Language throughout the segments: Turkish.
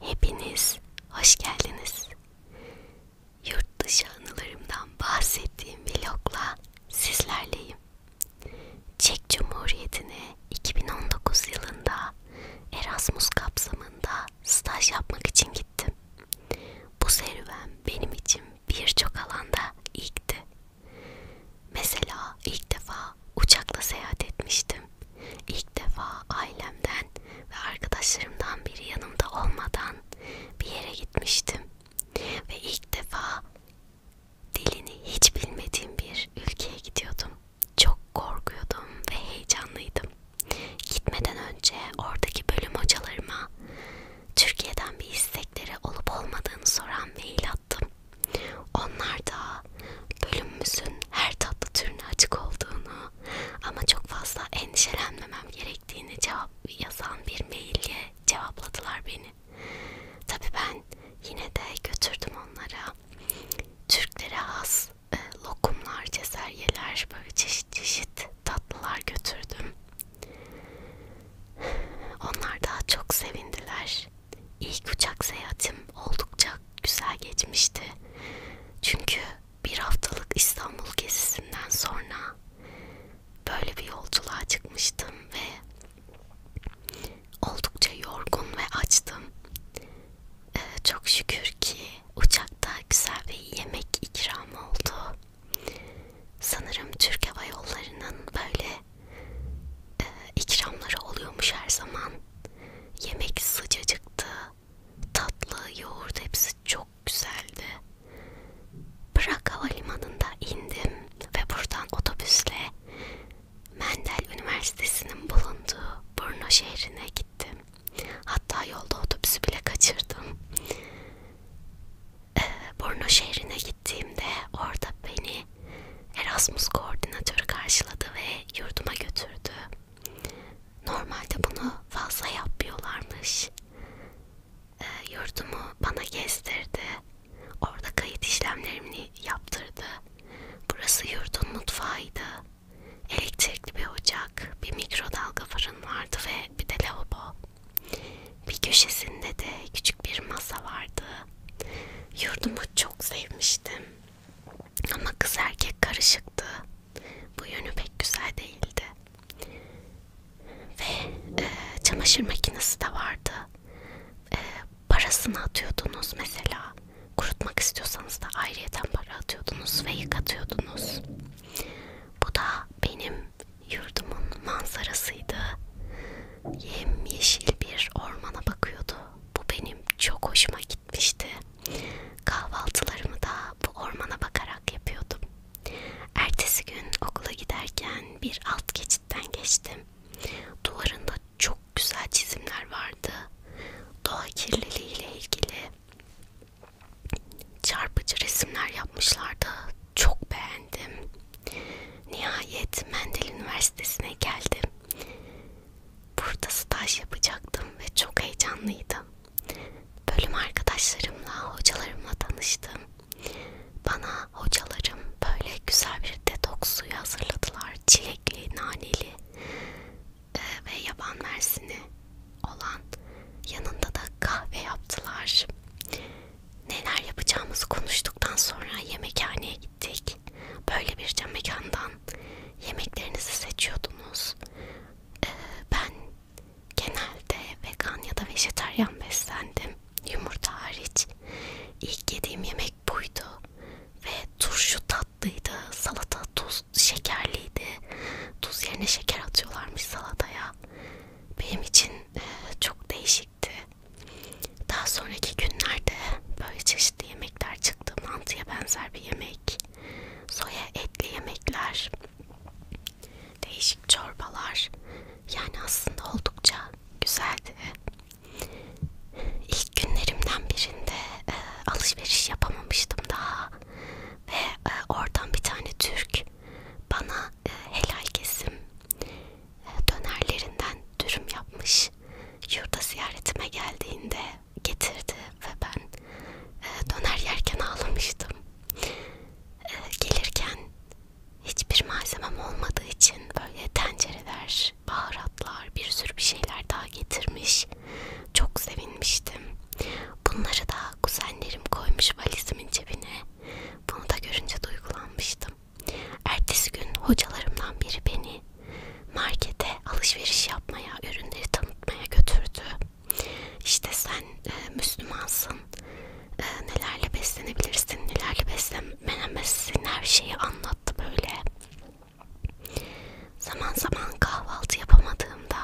Hepiniz hoş geldiniz. Yurt dışı anılarımdan bahsettiğim vlogla sizlerleyim. Çek Cumhuriyeti'ne 2019 yılında Erasmus kapsamında staj yapmak için gittim. Bu serüven benim için birçok alanda ilkti. Mesela ilk defa uçakla seyahat etmiştim İlk defa ailemden ve arkadaşlarımdan biri yanımda olmadan bir yere gitmiştim. Ve ilk defa dilini hiç bilmediğim bir ülkeye gidiyordum. Çok korkuyordum ve heyecanlıydım. Gitmeden önce oradaki bölüm hocalarıma Türkiye'den bir istekleri olup olmadığını soran mail attım. Onlar da bölümümüzün her tatlı türüne açık olduğunu ama çok fazla endişelenmemem gerektiğini cevap yazan bir maille cevapladılar beni. Tabi ben yine de götürdüm onlara. Türklere has e, lokumlar, cezeryeler, böyle çeşit çeşit tatlılar götürdüm. Onlar daha çok sevindiler. İlk uçak seyahatim oldukça güzel geçmişti. Çünkü bir haftalık İstanbul gezisinden sonra böyle bir yolculuğa çıkmıştım ve oldukça yorgun ve açtım. Ee, çok şükür ki uçakta güzel bir yemek ikramı oldu. Sanırım Türk Hava Yolları'nın böyle e, ikramları oluyormuş her zaman. Yemek sıcacıktı tatlı, yoğurt hepsi çok güzeldi. Prag Havalimanı'nda indim ve buradan otobüsle Mendel Üniversitesi'nin bulunduğu Brno şehrine gittim. Hatta yolda otobüsü bile kaçırdım. Ee, Brno şehrine gittiğimde orada beni Erasmus koordinatörü karşıladı ve yurduma götürdü. Normalde bunu fazla yapmıyorlarmış. E, yurdumu bana gezdirdi. Orada kayıt işlemlerimi yaptırdı. Burası yurdun mutfağıydı. Elektrikli bir ocak, bir mikrodalga fırın vardı ve bir de lavabo. Bir köşesinde de küçük bir masa vardı. Yurdumu çok sevmiştim. Ama kız erkek karışıktı. Bu yönü pek güzel değildi. Ve e, çamaşır makinesi de vardı. E, parasını atıyordunuz mesela. Kurutmak istiyorsanız da ayrıyeten para atıyordunuz ve yıkatıyordunuz. Bu da benim yurdumun manzarasıydı. Yemyeşil bir ormana bakıyordu. Bu benim çok hoşuma gitmişti. Kahvaltılarımı da bu ormana bakarak yapıyordum. Ertesi gün okula giderken bir alt geçitten geçtim. Duvarında çok güzel çizimler vardı. Doğa kirliliği ile ilgili çarpıcı resimler yapmışlardı. Çok beğendim. Nihayet Mendel Üniversitesi'ne geldim burada staj yapacaktım ve çok heyecanlıydım. Bölüm arkadaşlarımla, hocalarımla tanıştım. Bana hocalarım böyle güzel bir detoks suyu hazırladılar. Çilekli, naneli e, ve yaban mersini olan yanında da kahve yaptılar. Neler yapacağımızı konuştuktan sonra yemekhaneye gittik. Böyle bir mekandan yemeklerinizi seçiyordunuz. Ee, ben genelde vegan ya da vejetaryen beslendim. Yumurta hariç. İlk yediğim yemek buydu. Ve turşu tatlıydı. Salata tuz şekerliydi. Tuz yerine şeker atıyorlarmış salataya. Benim için e, çok değişikti. Daha sonraki günlerde böyle çeşitli yemekler çıktı. Mantıya benzer bir yemek soya etli yemekler, değişik çorbalar. Yani aslında oldukça güzeldi. İlk günlerimden birinde e, alışveriş yapamamıştım daha ve e, oradan bir tane Türk bana e, helal kesim e, dönerlerinden dürüm yapmış. Yurda ziyaretime geldiğinde getirdi ve ben e, döner yerken ağlamıştım. E, gelirken hiçbir malzemem olmadığı için böyle tencereler, baharatlar, bir sürü bir şeyler daha getirmiş. Çok sevinmiştim. Bunları da kuzenlerim koymuş valizimin cebine. Bunu da görünce duygulanmıştım. Ertesi gün hocalarımdan biri beni markete alışveriş yapmaya, ürünleri tanıtmaya götürdü. İşte sen e, Müslümansın, e, nelerle beslenebilirsin, nelerle beslenemezsin her şeyi anlattı böyle. Zaman zaman kahvaltı yapamadığımda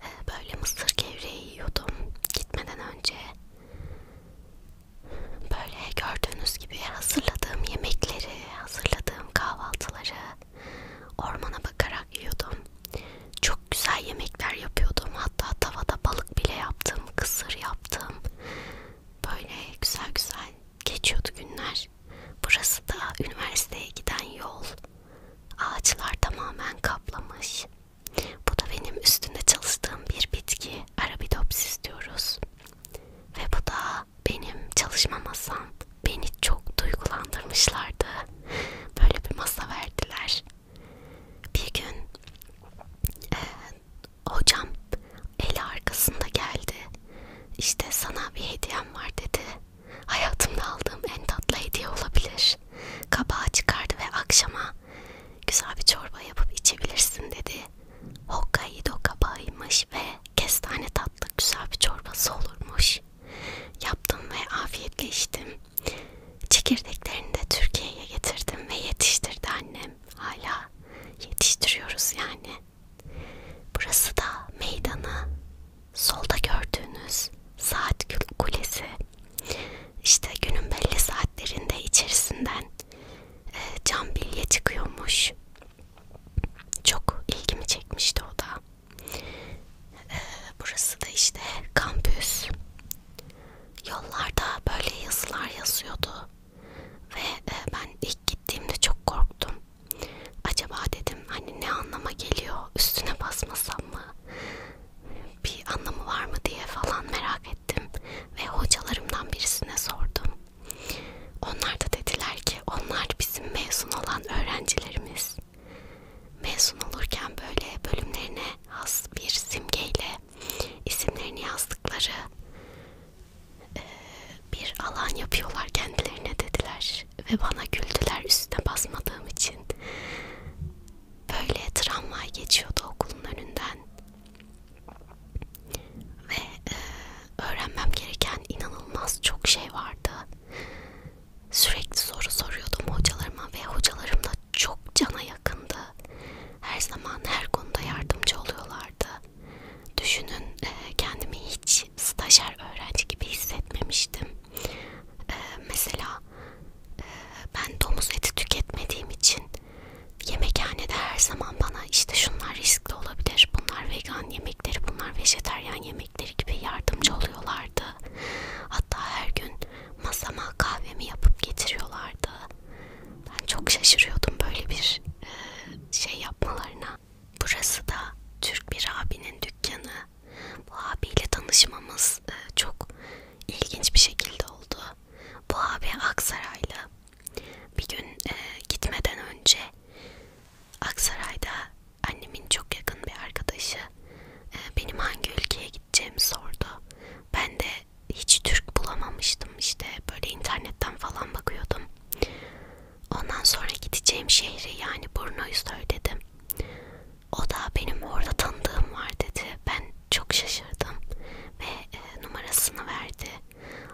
e, böyle mısır gevreği yiyordum gitmeden önce. Böyle gördüğünüz gibi hazırladığım yemekleri, hazırladığım kahvaltıları Ormana bakarak yiyordum. Çok güzel yemekler yapıyordum. Hatta tavada balık bile yaptım, kısır yaptım. Böyle güzel güzel geçiyordu günler. Burası da üniversiteye giden yol. Ağaçlar tamamen kaplamış. Bu da benim üstünde çalıştığım bir bitki. Arabidopsis diyoruz. Ve bu da benim çalışma masam beni çok duygulandırmışlardı. Böyle bir masa verdiler. Bir gün e, hocam eli arkasında geldi. İşte sana bir hediyem var dedi. Hayatımda aldığım en tatlı hediye olabilir. Kabağı çıkardı ve akşama güzel bir çorba yapıp içebilirsin dedi. Hokkaido kabağıymış pirinç ve kestane tatlı güzel bir çorbası olurmuş. Yaptım ve afiyetle içtim. Çekirdeklerini de Türkiye'ye getirdim ve yetiştirdi annem. Hala yetiştiriyoruz yani. Burası da meydanı. Solda gördüğünüz saat kulesi. İşte günün belli saatlerinde içerisinden e, cam bilye çıkıyormuş çok ilgimi çekmişti o da. Ee, burası da işte kampüs. Yollarda böyle yazılar yazıyordu ve e, ben ilk gittiğimde çok korktum. Acaba dedim hani ne anlama geliyor üstüne basmasam mı? Bir anlamı var mı diye falan merak ettim ve hocalarımdan birisine sordum. Onlar da dediler ki onlar bizim mezun olan öğrencilerimiz. Mezun olurken böyle bölümlerine has bir simgeyle isimlerini yazdıkları e, bir alan yapıyorlar kendilerine dediler ve bana güldüler üstüne basmadığım için. Böyle tramvay geçiyordu okulun önünden ve e, öğrenmem gereken inanılmaz çok şey vardı. Sürekli soru soruyordum hocalarıma ve hocalarım da çok cana yakındı. Her zaman her konuda yardımcı oluyorlardı. Düşünün e, kendimi hiç stajyer öğrenci gibi hissetmemiştim. E, mesela e, ben domuz eti tüketmediğim için yemekhanede her zaman bana işte şunlar risk mantıklı olabilir. Bunlar vegan yemekleri, bunlar vejeteryan yemekleri gibi yardımcı oluyorlardı. Hatta her gün masama kahvemi yapıp getiriyorlardı. Ben çok şaşırıyordum böyle bir e, şey yapmalarına. Burası da Türk bir abinin dükkanı. Bu abiyle tanışmamız e, çok ilginç bir şekilde oldu. Bu abi Aksaraylı. Bir gün e, gitmeden önce Aksaray'da annemin çok yakın bir arkadaşı e, benim hangi ülkeye gideceğimi sordu. Ben de hiç Türk bulamamıştım işte böyle internetten falan bakıyordum. Ondan sonra gideceğim şehri yani Burno'yu söyledim. O da benim orada tanıdığım var dedi. Ben çok şaşırdım ve e, numarasını verdi.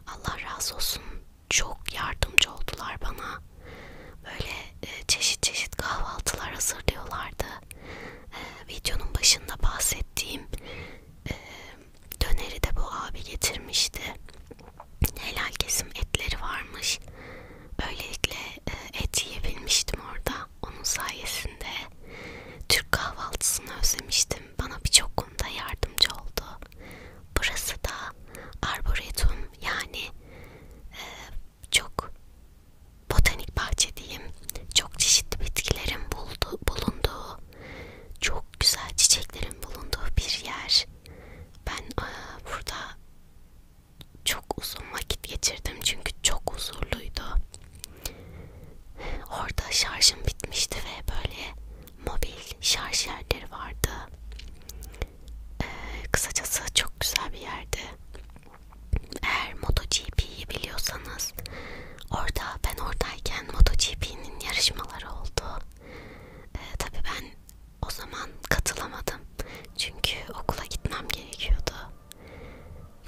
Allah razı olsun çok yardımcı oldular bana. Böyle e, çeşit çeşit kahvaltılar hazırlıyorlardı. E, videonun başında bahsettiğim e, döneri de bu abi getirmişti. Helal kesim etleri varmış. Böylelikle e, et yiyebilmiştim orada. Onun sayesinde Türk kahvaltısını özlemiştim. Bana birçok konuda yardımcı oldu. Burası da arboretum yani e, çok botanik bahçe diyeyim. Çok çeşitli bitkilerin buldu, bulunduğu, çok güzel çiçeklerin bulunduğu bir yer. Ben e, burada çok uzun vakit geçirdim çünkü çok huzurluydu. Orada şarjım bitmişti ve böyle mobil şarj yerleri vardı. Ee, kısacası çok güzel bir yerdi. Eğer MotoGP'yi biliyorsanız orada ben oradayken MotoGP'nin yarışmaları oldu. Ee, Tabi ben o zaman katılamadım. Çünkü okula gitmem gerekiyordu.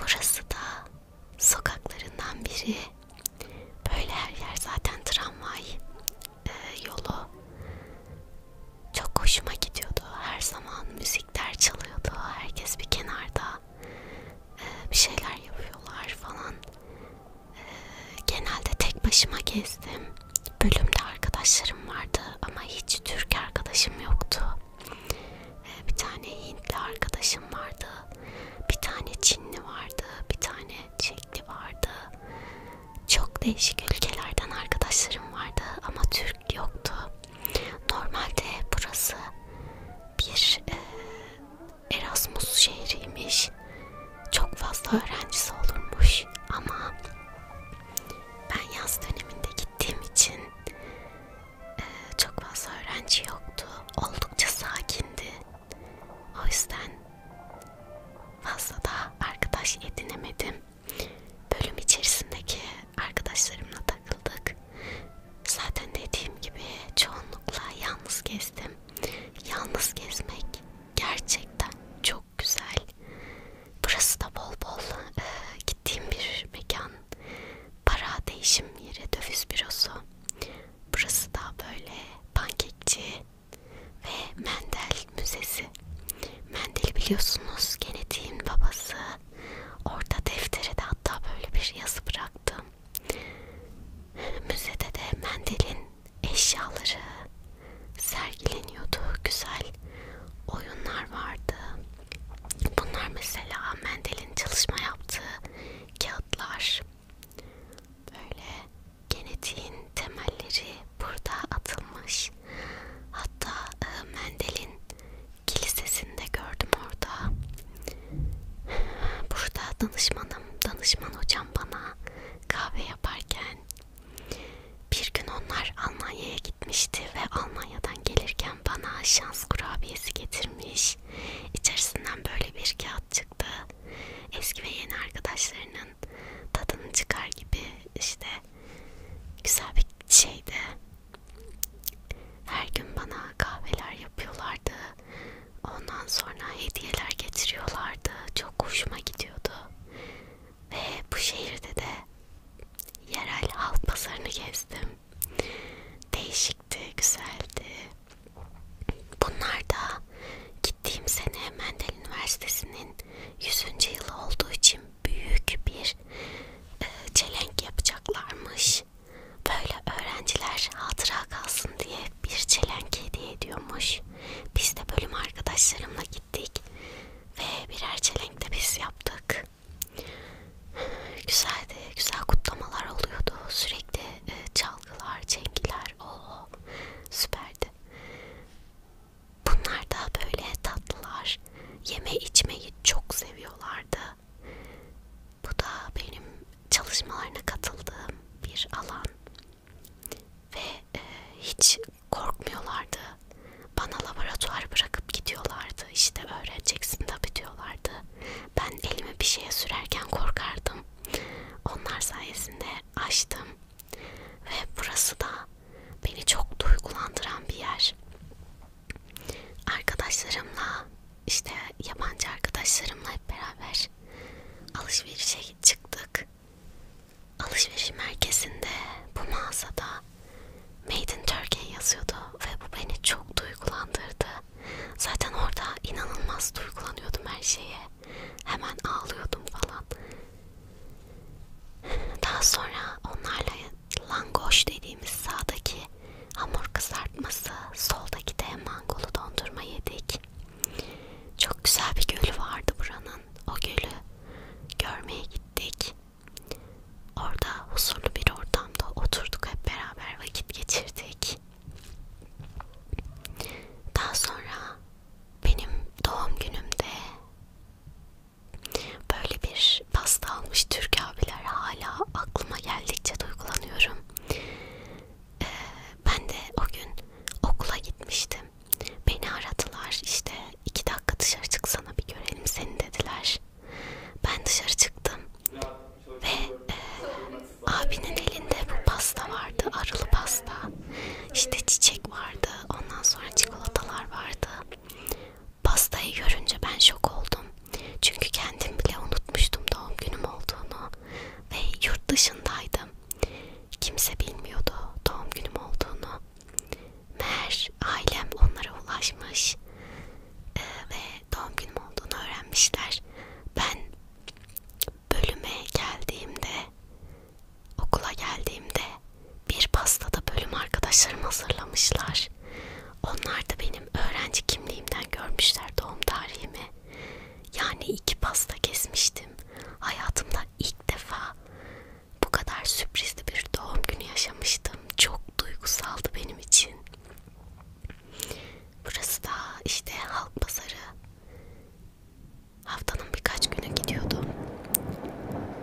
Burası da sokaklarından biri. Böyle her yer zaten tramvay e, yolu çok hoşuma gidiyordu. Her zaman müzikler çalıyordu. Herkes bir kenarda e, bir şeyler yapıyorlar falan. E, genelde tek başıma gezdim. Bölümde arkadaşlarım vardı ama hiç Türk arkadaşım yoktu. E, bir tane Hintli arkadaşım vardı. Bir tane Çinli vardı. Bir tane Çekli vardı. Çok değişik ülkelerden arkadaşlarım vardı ama Türk yoktu. Normalde burası bir e, Erasmus şehriymiş. Çok fazla öğrencisi olurmuş ama ben yaz döneminde gittiğim için e, çok fazla öğrenci yoktu. Oldukça sakindi. O yüzden fazla da arkadaş edinemedim. Bölüm içerisindeki arkadaşlarımla takıldık. Zaten dediğim gibi çoğunlukla yalnız gezdim. Yalnız gezmek gerçekten çok güzel. Burası da bol bol e, gittiğim bir mekan. Para değişim yeri döviz bürosu. Burası da böyle pankekçi ve Mendel Müzesi. Mendel biliyorsunuz genetiğin babası. Orada defteri de hatta böyle bir yazı bıraktım. Müzede de Mendel'in eşyaları sergileniyordu. Güzel oyunlar vardı. Bunlar mesela Mendel'in çalışma yaptığı kağıtlar böyle genetiğin temelleri burada atılmış. Hatta e, Mendel'in kilisesinde gördüm orada. Burada danışmanım, danışman hocam bana kahve yaparken bir gün onlar Almanya'ya gitmişti ve Almanya'dan gelirken bana şans kurabiyesi getirmiş. İçerisinden böyle bir kağıt çıktı. Eski ve yeni arkadaşlarının tadını çıkar gibi işte güzel bir şeydi. Her gün bana kahveler yapıyorlardı. Ondan sonra hediyeler getiriyorlardı. Çok hoşuma gidiyordu. Ve bu şehirde de yerel halk pazarını gezdim. Değişikti, güzeldi. Bunlar da gittiğim sene Mendel Üniversitesi'nin 100. yılı olduğu için büyük bir e, çelenk yapacaklarmış. Böyle öğrenciler hatıra kalsın diye bir çelenk hediye ediyormuş. Biz de bölüm arkadaşlarımla gittik ve birer çelenk de biz yaptık. Güzeldi, güzel kutlamalar oluyordu. Sürekli e, çalgılar, çengiler, o süperdi. Bunlar da böyle tatlılar. Yeme içmeyi çok seviyorlardı. Bu da benim çalışmalarına katıldığım bir alan. Ve e, hiç korkmuyorlardı. Bana laboratuvar bırakıp gidiyorlardı. İşte öğreneceksin tabii diyorlardı. Ben elimi bir şeye sürerken korkardım. Onlar sayesinde açtım ve burası da beni çok duygulandıran bir yer. Arkadaşlarımla işte yabancı arkadaşlarımla hep beraber alışverişe çıktık. Alışveriş merkezinde bu mağazada Made in Turkey yazıyordu ve bu beni çok duygulandırdı. Zaten orada inanılmaz duygulanıyordum her şeye hemen ağlıyordum falan. Daha sonra onlarla langoş dediğimiz sağdaki hamur kızartması, soldaki de mangolu dondurma yedik. Çok güzel bir gölü vardı buranın. O gölü görmeye gittik. Orada huzurlu bir ortamda oturduk hep beraber vakit geçirdik. Daha sonra benim doğum günümde böyle bir pasta almış Türk abiler hala aklıma geldikçe duygulanıyorum. Ee, ben de o gün okula gitmiştim. Beni aradılar işte iki dakika dışarı çıksana bir görelim seni dediler. Ben dışarı çıktım ve e, abinin elinde bu pasta vardı arılı pasta işte çiçek vardı ondan sonra çikolatalar vardı pastayı görünce ben şok oldum çünkü kendim bile unutmuştum doğum günüm olduğunu ve yurt dışındaydım kimse bilmiyordu doğum günüm olduğunu meğer ailem onlara ulaşmış e, ve doğum günüm olduğunu öğrenmişler ben bölüme geldiğimde, okula geldiğimde bir pastada bölüm arkadaşlarım hazırlamışlar. Onlar da benim öğrenci kimliğimden görmüşler doğum tarihimi. Yani iki pasta kesmiştim. Hayatımda ilk defa bu kadar sürprizli bir doğum günü yaşamıştım. Çok duygusaldı benim için. Burası da işte halk pazarı haftanın birkaç günü gidiyordum.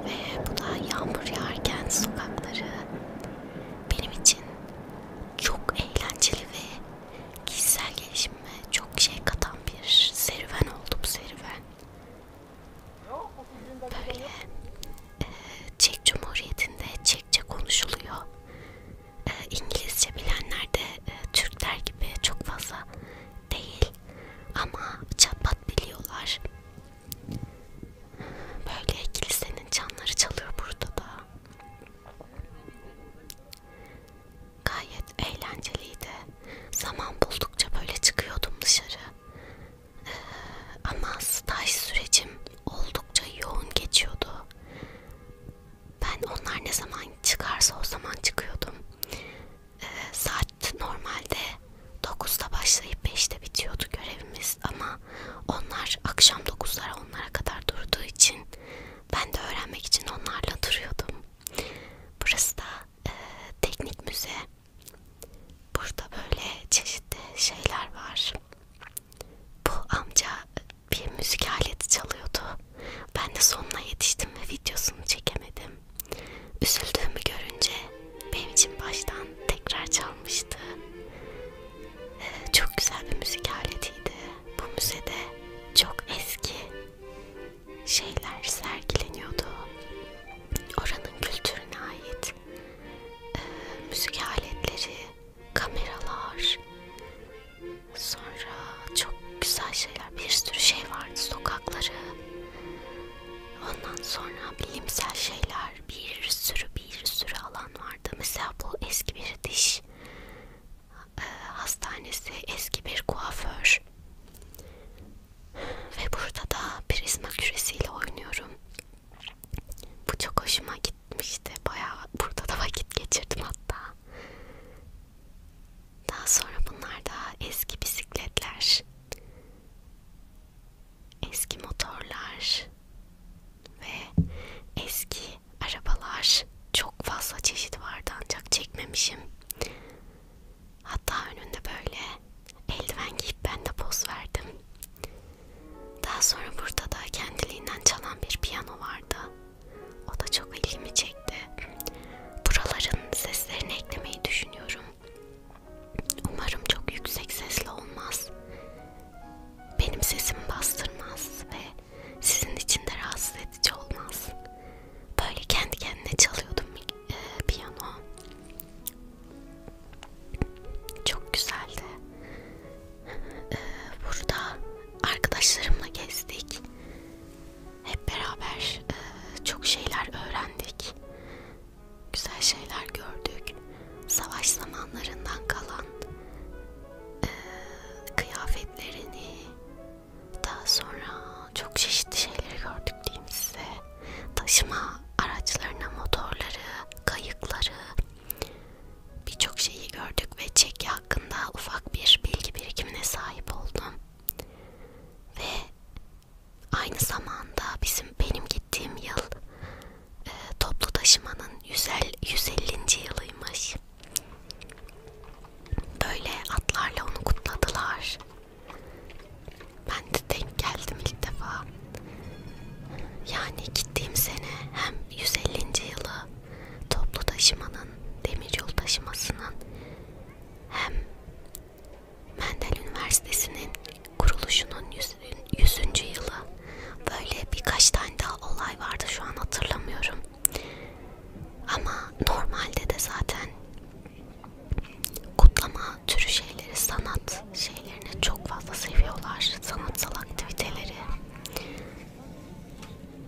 Ve bu da yağmur yağarken sokakları benim için çok eğlenceli ve kişisel gelişimime çok şey katan bir serüven oldu bu serüven. Böyle e, Çek Cumhuriyeti'nde Çekçe konuşuluyor. E, İngilizce bilenler de e, Türkler gibi çok fazla değil. Ama çapat biliyorlar. Böyle kilisenin çanları çalıyor burada da. Gayet eğlenceliydi. Zaman buldukça böyle çıkıyordum dışarı. Ee, ama staj sürecim oldukça yoğun geçiyordu. Ben onlar ne zaman çıkarsa o zaman çıkıyordum e, saat normalde 9'da başlayıp 5'te bitiyordu görevimiz ama onlar akşam 9'lara onlara kadar durduğu için ben de öğrenmek için onlarla duruyordum. Burası da e, teknik müze. Burada böyle çeşitli şeyler var. Bu amca bir müzik aleti çalıyordu. Ben de sonuna yetiştim ve videosunu çekemedim. Üzüldüğümü görünce benim için baştan tekrar çalmıştı. Ee, çok güzel bir müzik aletiydi. Bu müzede çok eski şeyler sergileniyordu. Oranın kültürüne ait ee, müzik aletleri, kameralar, sonra çok güzel şeyler, bir sürü şey vardı. Sokak sokakları. Ondan sonra bilimsel şeyler, bir sürü bir sürü alan vardı. Mesela bu eski bir diş e, hastanesi, eski bir kuaför. Ve burada da prizma küresiyle oynuyorum. Bu çok hoşuma gitmişti. Bayağı burada da vakit geçirdim hatta. Daha sonra bunlar daha eski bisikletler, eski motorlar ve eski arabalar. Çok fazla çeşit vardı ancak çekmemişim. Hatta önünde böyle eldiven giyip ben de poz verdim. Daha sonra burada da kendiliğinden çalan bir piyano vardı. O da çok ilgimi çekti. Buraların seslerini eklemeyi düşünüyorum. Umarım çok yüksek sesli olmaz. Benim sesimi bastırmaz ve sizin için de rahatsız edici olmaz. Böyle kendi kendine çalıyordum e, piyano. Çok güzeldi. E, burada arkadaşlarımla gezdik hep beraber e, çok şeyler öğrendik. Güzel şeyler gördük. Savaş zamanlarından kalan e, kıyafetlerini daha sonra çok çeşitli şeyleri gördük diyeyim size. Taşıma araçlarına motorları, kayıkları birçok şeyi gördük ve Çeki hakkında ufak bir bilgi birikimine sahip oldum ve aynı zamanda bizim benim gittiğim yıl e, toplu taşımanın 150. yılıymış. Böyle atlarla onu kutladılar. Ben de denk geldim ilk defa. Yani gittiğim sene hem 150. yılı toplu taşımanın, demiryol taşımasının hem Mendel Üniversitesi'nin kuruluşunun 100. yılı. Böyle birkaç tane daha olay vardı şu an hatırlamıyorum. Ama normalde de zaten kutlama türü şeyleri, sanat şeylerini çok fazla seviyorlar. Sanatsal aktiviteleri.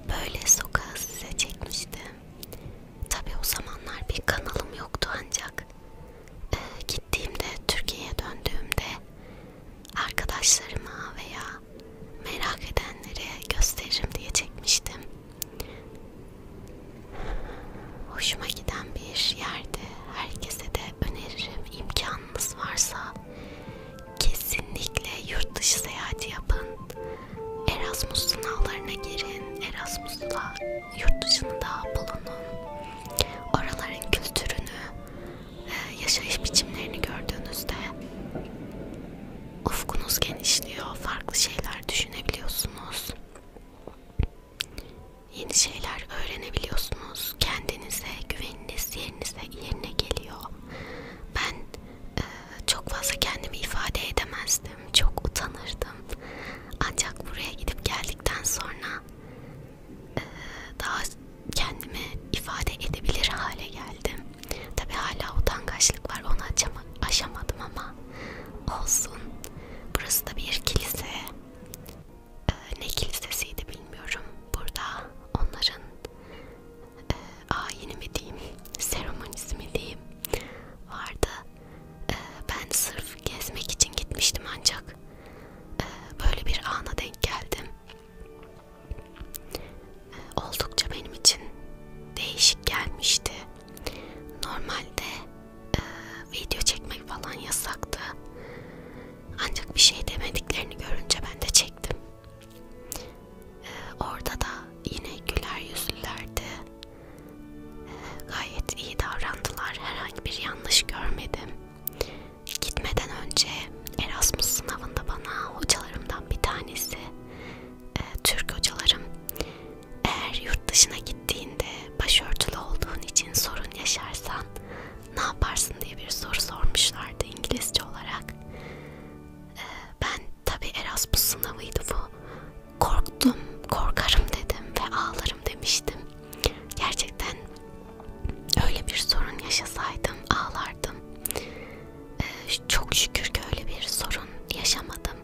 Böyle sokağa size çekmişti. Tabi o zamanlar bir kanalım yoktu ancak e, gittiğimde Türkiye'ye döndüğümde arkadaşlarıma veya merak edenlere gösteririm diye çekmiştim. Hoşuma giden bir yerde herkese de öneririm imkanınız varsa kesinlikle yurt dışı seyahati yapın. Erasmus sınavlarına girin. Erasmus'la yurt dışında bulunun. Oraların kültürünü, e, yaşayış biçimlerini gördüğünüzde ufkunuz genişliyor. Farklı şeyler düşünebiliyorsunuz. Yeni şeyler öğrenebiliyorsunuz. Kendinize, güveniniz yerinize yerine geliyor. Ben çok fazla kendimi ifade edemezdim. Çok utanırdım. Ancak buraya gidip geldikten sonra e, daha kendimi ifade edebilir hale geldim. Tabi hala utangaçlık var. Onu aşamadım ama olsun. Burası da bir kilise. E, ne kilisesiydi bilmiyorum. Burada onların e, ayini mi diyeyim, seremonisi mi diyeyim vardı. Ee, ben sırf gezmek için gitmiştim ancak ee, böyle bir ana denk geldim. Ee, oldukça benim için değişik gelmişti. Normalde e, video çekmek falan yasaktı. Ancak bir şey demediklerini görünce ben de çektim orada da yine güler yüzlülerdi. Gayet iyi davrandılar. Herhangi bir yanlış görmedim. Gitmeden önce Erasmus sınavında bana hocalarımdan bir tanesi, e, Türk hocalarım, eğer yurt dışına gittiğinde başörtülü olduğun için sorun yaşarsan ne yaparsın diye bir soru sormuşlardı İngilizce olarak. E, ben Tabi Erasmus sınavıydı bu. Korktum, korkarım dedim ve ağlarım demiştim. Gerçekten öyle bir sorun yaşasaydım ağlardım. Ee, çok şükür ki öyle bir sorun yaşamadım.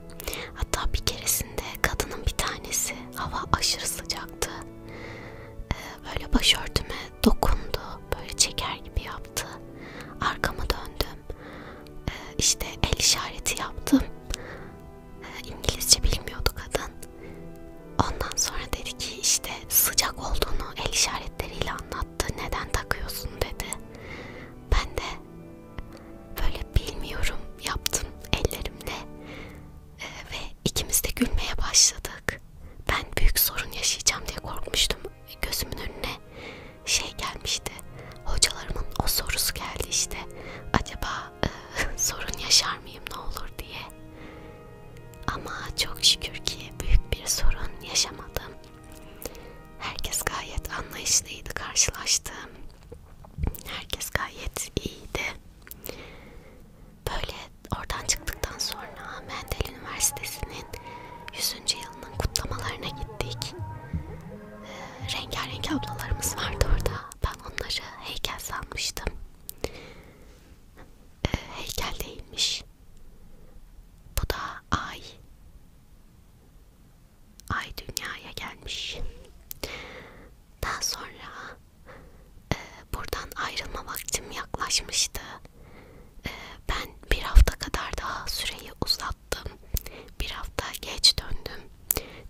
Hatta bir keresinde kadının bir tanesi hava aşırı sıcaktı. Ee, böyle başörtüme dokundu, böyle çeker gibi yaptı. Arkama döndüm e, işte el işareti yaptım. E, İngilizce bilmiyordu kadın. Ondan sonra dedi ki işte sıcak olduğunu el işaretleriyle anlattı. Neden takıyorsun dedi. Ben de böyle bilmiyorum yaptım ellerimle e, ve ikimiz de gülmeye başladık. Ben büyük sorun yaşayacağım diye korkmuştum. Gözümün önüne şey gelmişti. Hocalarımın o sorusu geldi işte. Acaba e, sorun yaşar mıyım ne olur diye. Ama çok şükür ki büyük bir sorun yaşamadım. Herkes gayet anlayışlıydı karşılaştığım. Herkes gayet iyiydi. Böyle oradan çıktıktan sonra Mendel Üniversitesi'nin 100. yılının kutlamalarına gittik rengarenk ablalarımız vardı orada. Ben onları heykel sanmıştım. E, heykel değilmiş. Bu da ay. Ay dünyaya gelmiş. Daha sonra e, buradan ayrılma vaktim yaklaşmıştı. E, ben bir hafta kadar daha süreyi uzat attım. Bir hafta geç döndüm.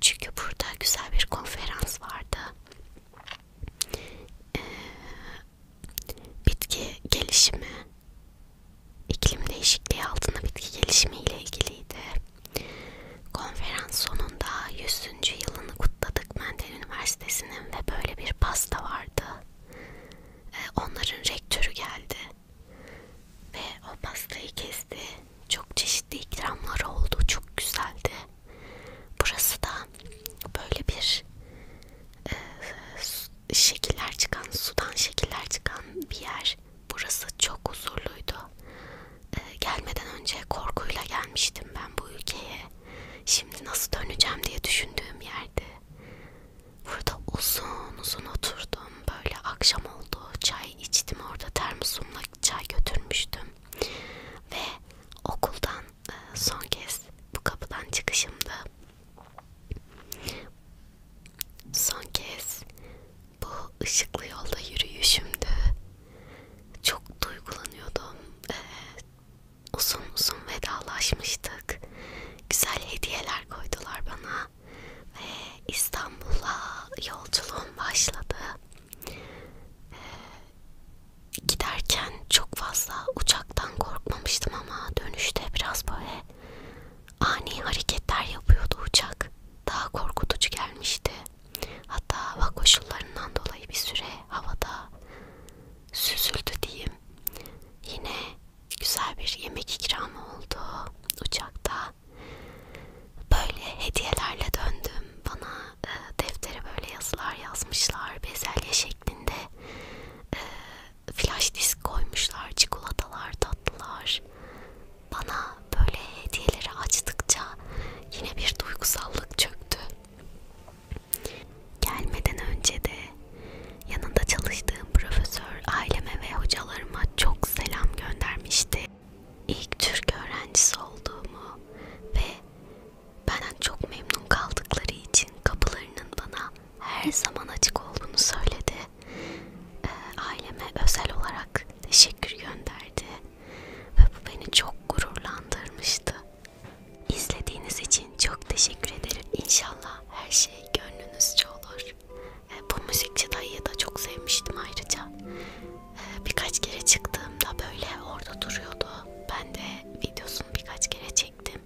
Çünkü burada güzel bir konferans vardı. Ee, bitki gelişimi, iklim değişikliği altında bitki gelişimi ile ilgiliydi. Konferans sonunda 100. yılını kutladık Mendel Üniversitesi'nin ve böyle bir pasta vardı. Ee, onların rektörü geldi. Ve o pastayı kesti. Çok çeşitli ikramlar oldu. Çok güzeldi. Burası da böyle bir e, şekiller çıkan, sudan şekiller çıkan bir yer. Burası çok huzurluydu. E, gelmeden önce korkuyla gelmiştim ben bu ülkeye. Şimdi nasıl döneceğim diye düşündüğüm yerdi. Burada uzun uzun oturdum. Böyle akşam oldu. Çay içtim orada. Termosumla çay götürmüştüm. Ve okuldan e, son kez bu kapıdan çıkışımdı. Son kez bu ışıklı yolda yürüyüşümdü. Çok duygulanıyordum. Ee, uzun uzun vedalaşmıştık. Güzel hediyeler koydular bana ve İstanbul'a yolculuğum başladı. Ee, giderken çok fazla uçaktan korkmamıştım ama dönüşte biraz böyle ani hareketler yapıyordu uçak. Daha korkutucu gelmişti. Hatta hava koşullarından dolayı bir süre havada süzüldü diyeyim. Yine güzel bir yemek ikramı oldu uçakta. Böyle hediyelerle döndüm. Bana e, deftere böyle yazılar yazmışlar. Bezelye şeklinde. E, flash disk koymuşlar. Çikolatalar, tatlılar. Bana böyle hediyeleri açtıkça yine bir duygusallık çöktü. Gelmeden önce de yanında çalıştığım profesör profesör aileme ve hocalarıma çok selam göndermişti. İlk Türk öğrencisi olduğumu ve benden çok memnun kaldıkları için kapılarının bana her zaman açık olduğunu söyledi. E, aileme özel olarak teşekkür gönderdi ve bu beni çok gururlandırmıştı. İzlediğiniz için çok teşekkür ederim. İnşallah her şey gönlünüzce olur. Bu müzikçi dayıyı da çok sevmiştim ayrıca. Ee, birkaç kere çıktığımda böyle orada duruyordu. Ben de videosunu birkaç kere çektim.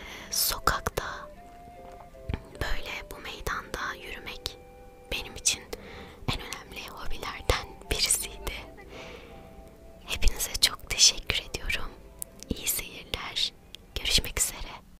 Ee, sokakta böyle bu meydanda yürümek benim için en önemli hobilerden birisiydi. Hepinize çok teşekkür ediyorum. İyi seyirler. Görüşmek üzere.